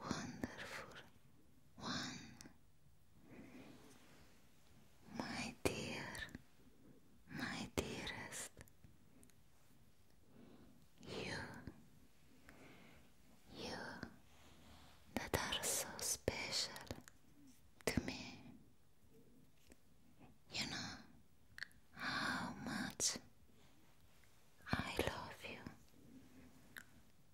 wonderful one, my dear, my dearest, you, you that are so special to me. You know how much I love you.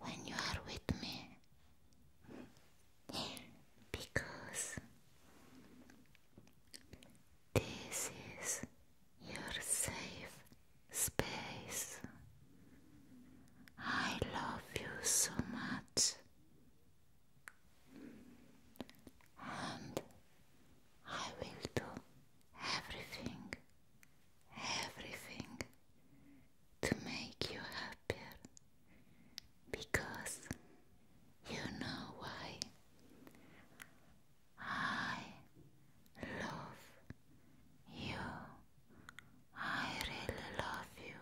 when you are with me because this is your safe space. I love you so much, and I will do everything everything to make you happier because you know why I love you. I really love you.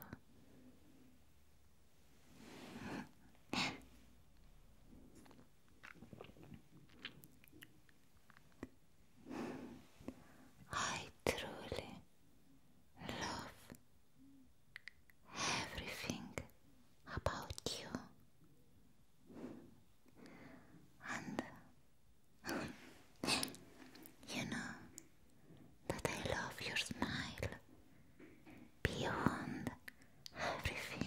I truly love everything about you. And you know that I love your smile beyond everything.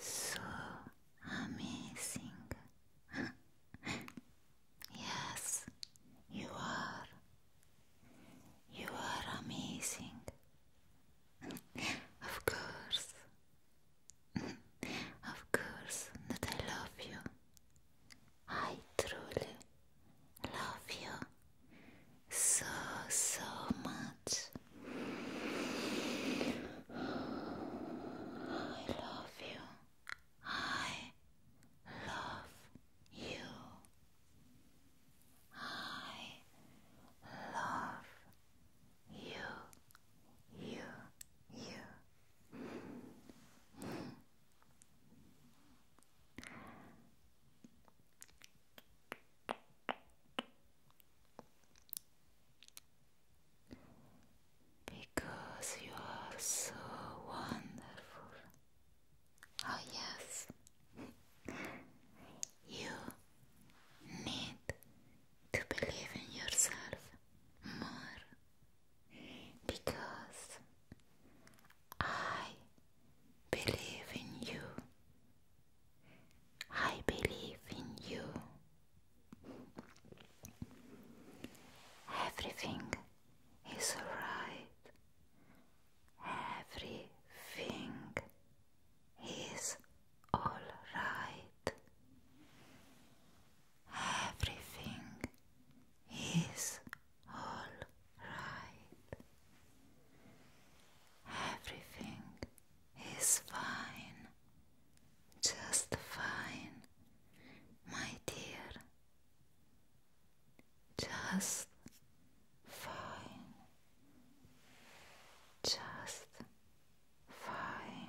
So amazing. Yes, you are. You are amazing. of course. of course that I love you. I truly love you so, so much. I love you. I love you. I love you. You. You because you are so wonderful. Oh, yes, you need to believe in yourself more because I believe in you. I believe in you. Everything is right. Everything is all right. Everything is all right. Everything is fine. Just fine, my dear. Just fine. Just fine.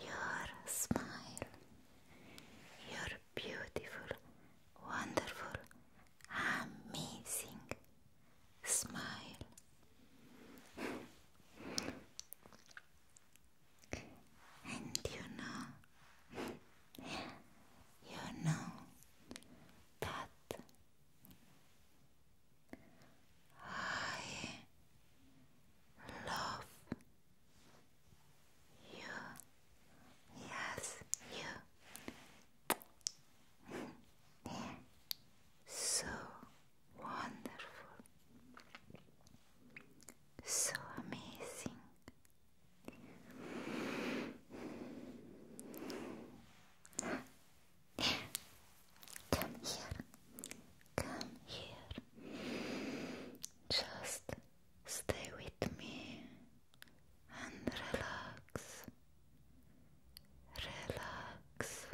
your smile, your beautiful, wonderful, amazing smile. and you know, you know that I love you. Yes, you. so wonderful. So amazing. Come here. Come here. Just stay with me and relax. Relax.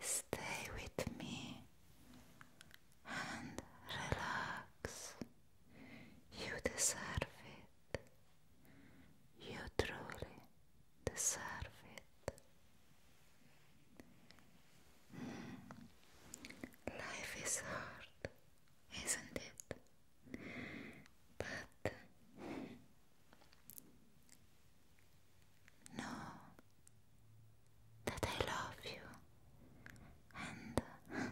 Stay with me and relax. You deserve it. You truly deserve it. Life is hard, isn't it? But know that I love you and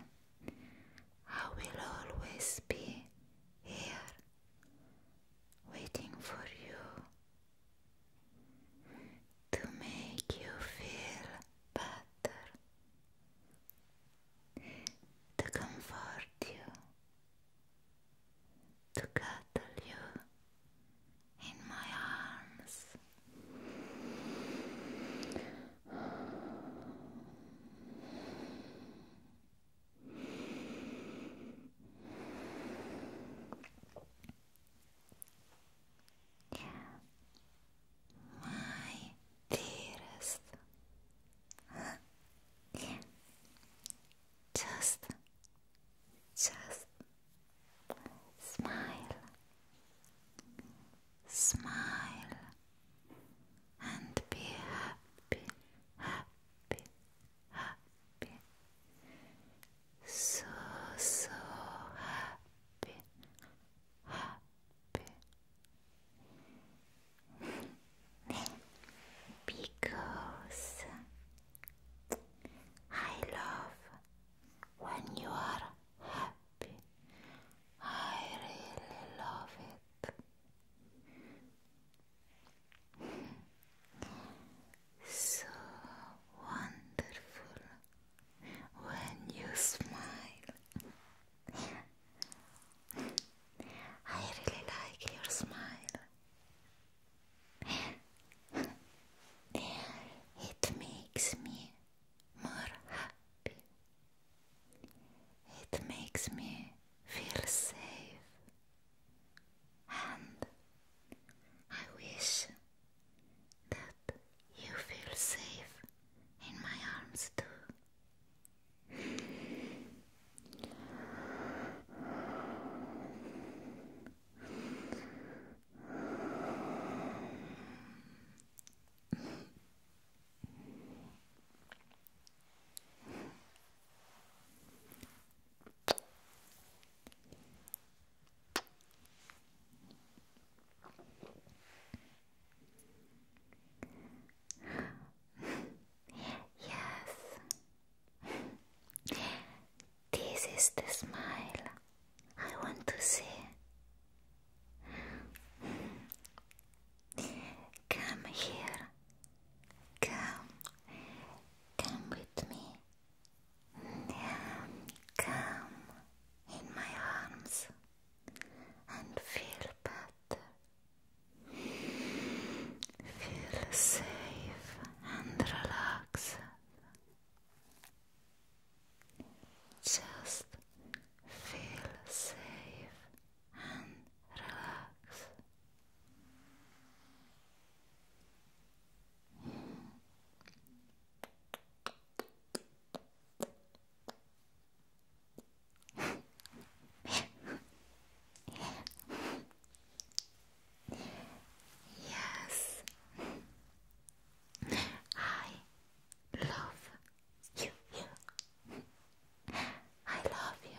I will always be here waiting for you to make you feel better, to comfort you, to cuddle you in my arms. My dearest, just, just smile, smile, and be happy, happy, happy, so so happy, happy. because I love when you are happy. I really love it. So wonderful when you smile. I really like your smile. It makes me more happy. It makes me feel safe and I wish that you feel safe in my arms too yes, this is the smile I want to see. Come here. Come. Come with me. Come in my arms and feel better. Feel safe and relaxed. Just feel safe and relax. yes, I love you. I love you.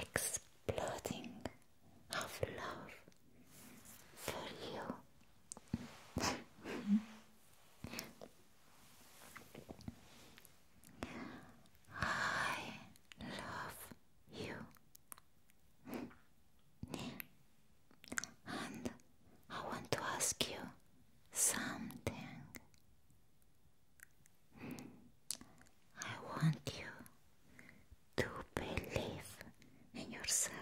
exploding of love for you. I love you, and I want to ask you something. I want you to believe in yourself.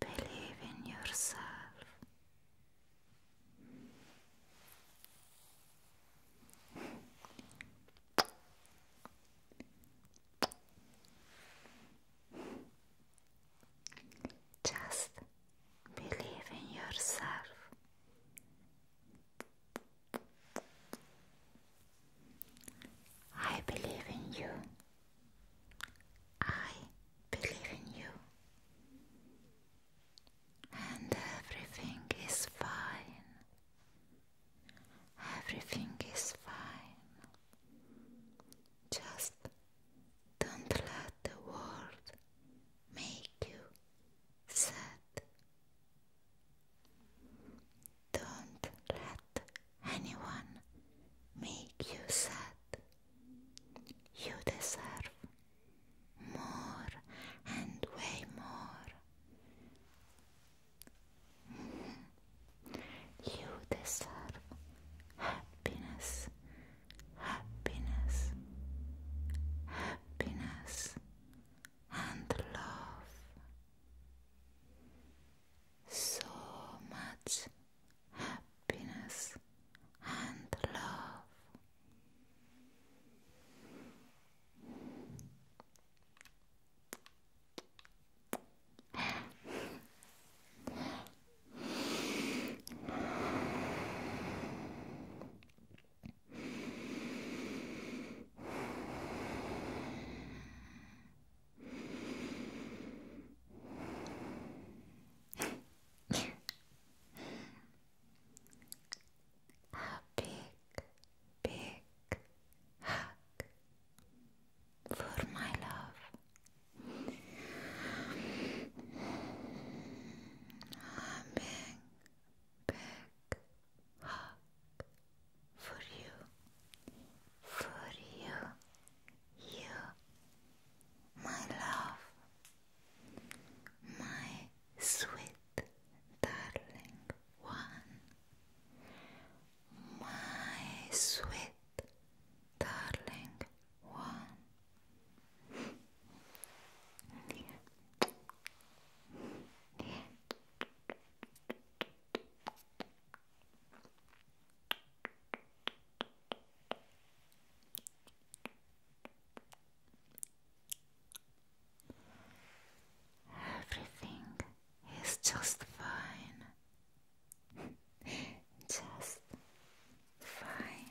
Believe in yourself. Just believe in yourself I believe in you. I believe in you. And everything is fine. Everything is fine. Just don't let the world make you said, Don't let anyone make you sad. You deserve more and way more. You deserve happiness, happiness, happiness, and love. So much happiness and love. A big, big hug for my love. A big, big hug for you, for you, you, my love, my sweet darling one, my sweet darling one. Everything is just fine. just fine.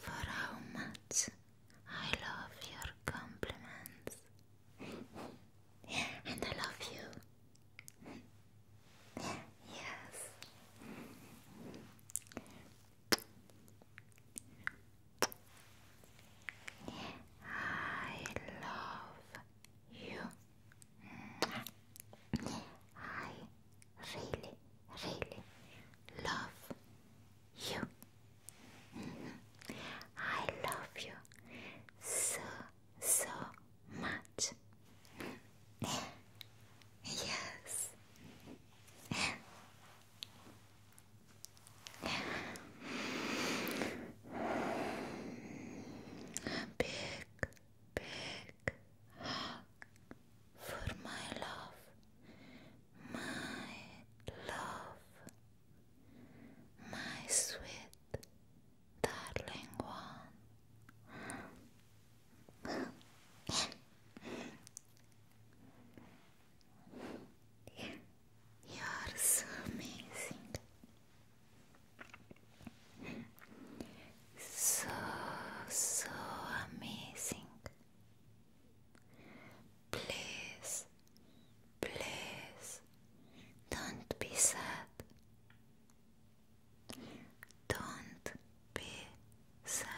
for how much I love your compliments. and I love you. yes. I love you. I really, really love you. Mm-hmm. I love you so, so much. yes. A big, big hug for my love my love, my sweet darling one. You are so amazing. So, so amazing. Please, please, don't be sad. Don't be sad.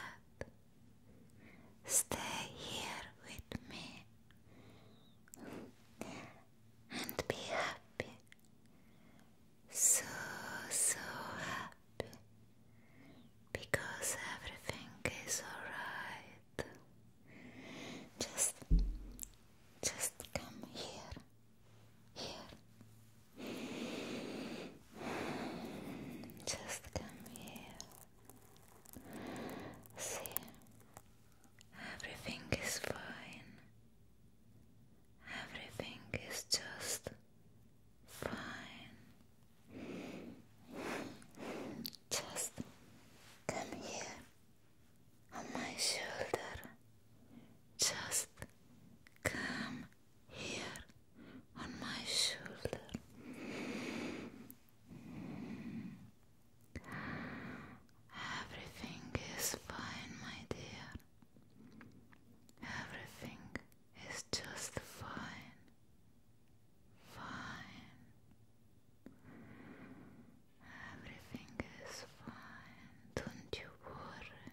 Stay here with me and be happy. So, so happy because everything is alright. Just, just come here, here. Just come here. See, everything is fine. Everything is just Fine. Just come here on my shoulder. Just come here on my shoulder. Everything is fine, my dear. Everything it's just fine, fine. Everything is fine, don't you worry.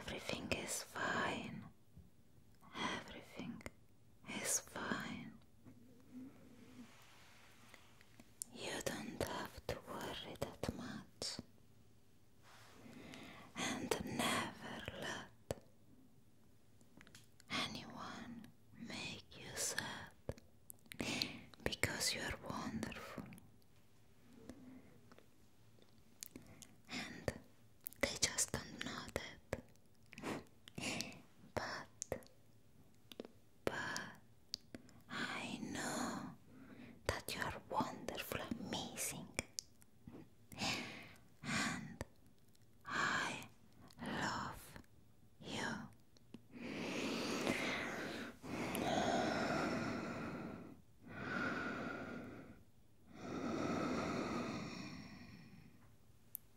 Everything is fine. Everything is fine. You don't have to worry that much, and never let anyone make you sad because you are wonderful, and they just don't know that. but but I know that you are wonderful, amazing, and I love you.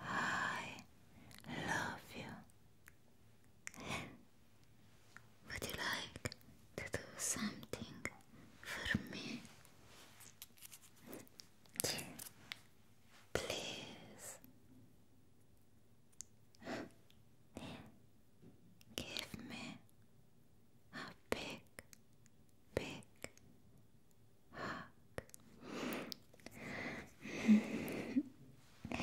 I love you. Would you like to do something for me? Please give me a big, big hug. Thank you.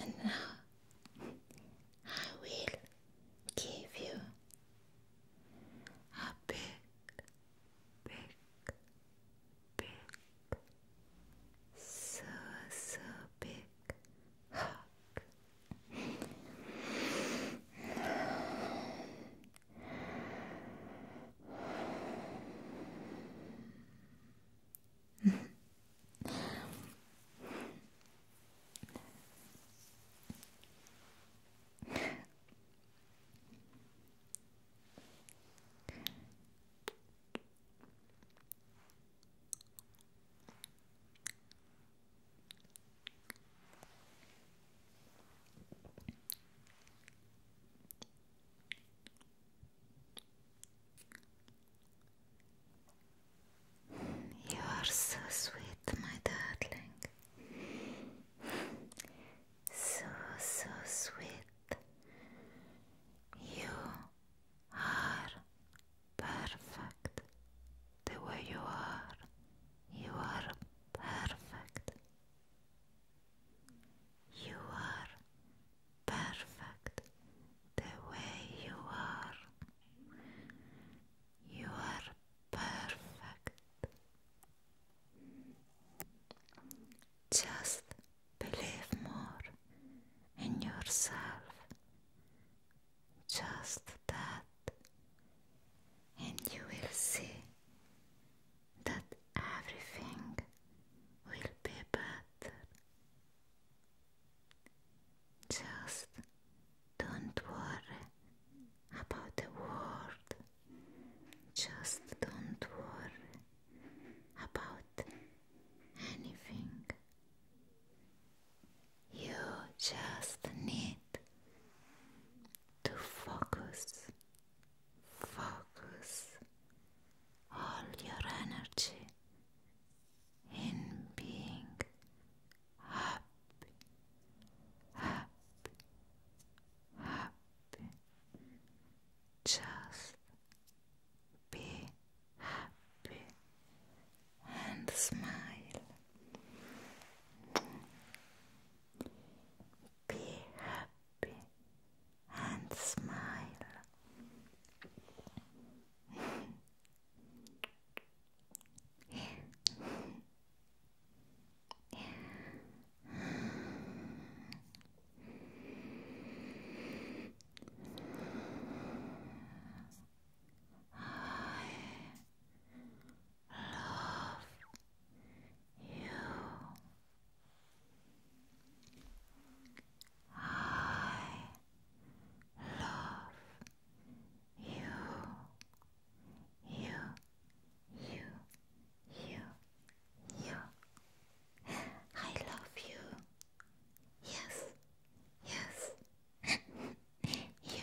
And now I will give you a big, big, big, so, so big hug. You are so sweet, my darling. So, so sweet. You are perfect the way you are. You are perfect. You are perfect the way you are. You are perfect. Just believe more in yourself. Just that, and you will see that everything will be better. Just don't worry about the world. Just don't worry about anything. You just need to focus, focus all your energy in being happy, happy, happy. Just be happy and smile. Be happy and smile. love you. I love you, you, you, you, you. I love you. Yes, yes. you.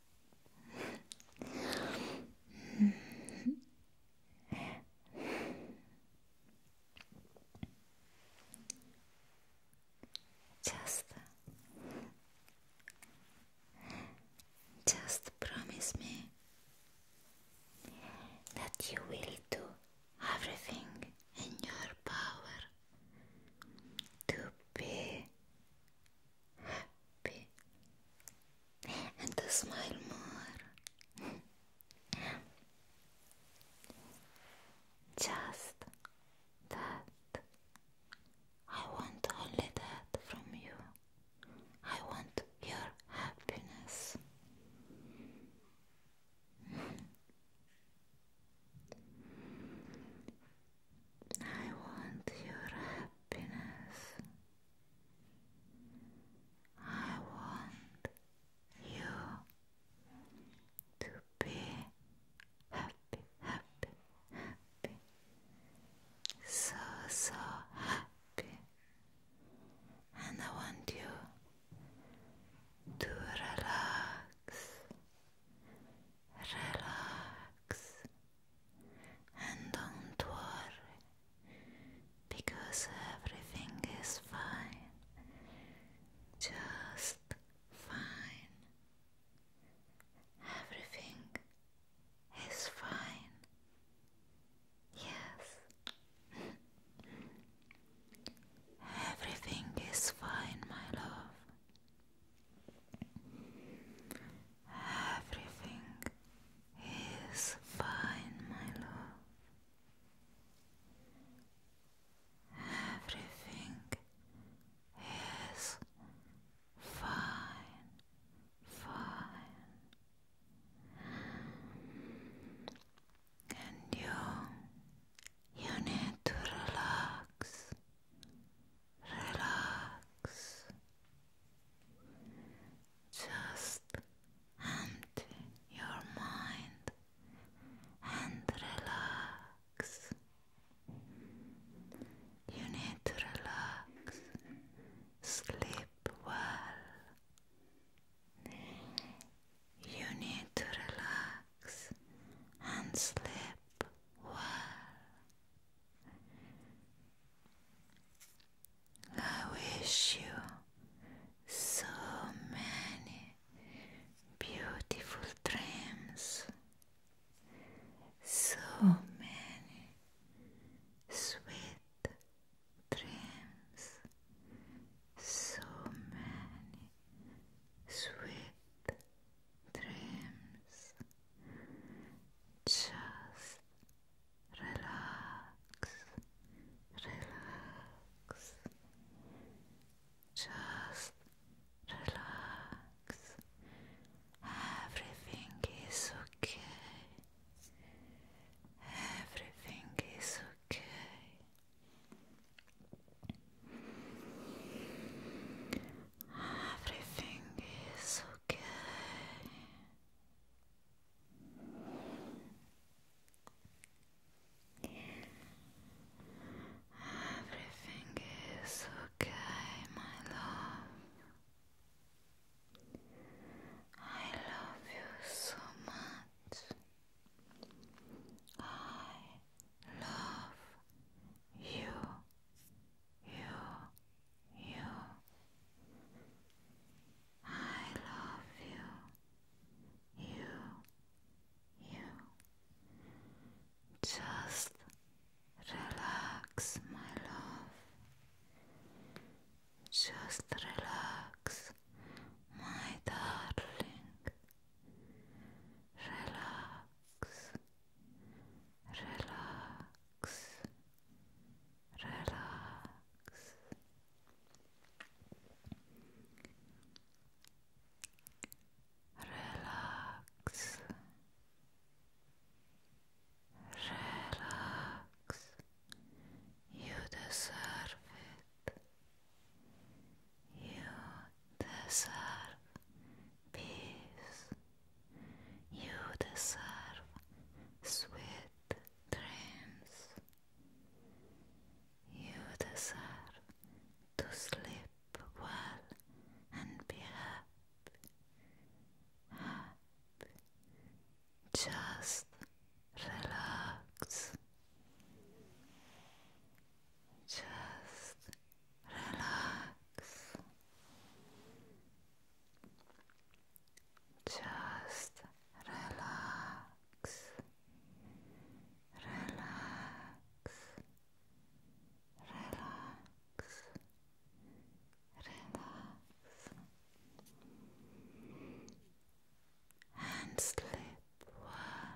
Just just promise me that you will do everything in your power to be happy and to smile more. Just that. I want only that from you. I want your happiness. I want your happiness. I want you to be happy, happy, happy. So, so happy. And I want you to relax, relax, and don't worry, because everything is fine, just fine. Everything is fine. Yes, everything is fine, my love. Everything is fine, my love. Everything is fine, fine. And you, you need to relax relax, just empty your mind and relax. You need to relax, sleep well. You need to relax and sleep well. I wish you so many beautiful dreams, so many sweet dreams, so many sweet dreams. Just relax, relax. Just relax. Everything is okay. Everything is okay. Everything is okay. Everything is okay, my love. I love you so much. I love you you, you. I love you, you, you. Just relax, my love. Just relax, my darling. Relax, relax, relax. Relax. Relax. You deserve it. You deserve peace. You deserve sweet dreams. You deserve to sleep well and be happy. Just relax. Just relax. Just relax, relax, relax, relax, and sleep well.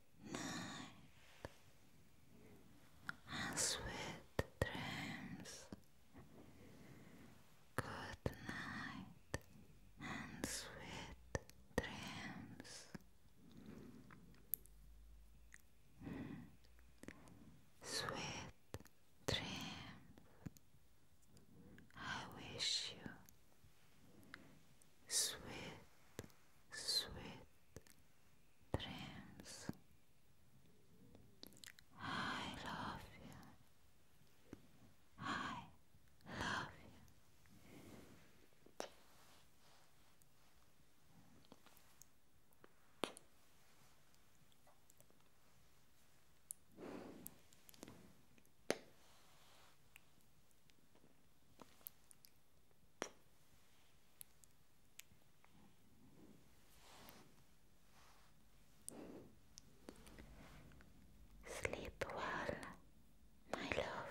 night and sweet dreams. Good night and sweet dreams. Sweet dreams. I wish you sweet sweet dreams. I love you. I love you. Sleep well, my love.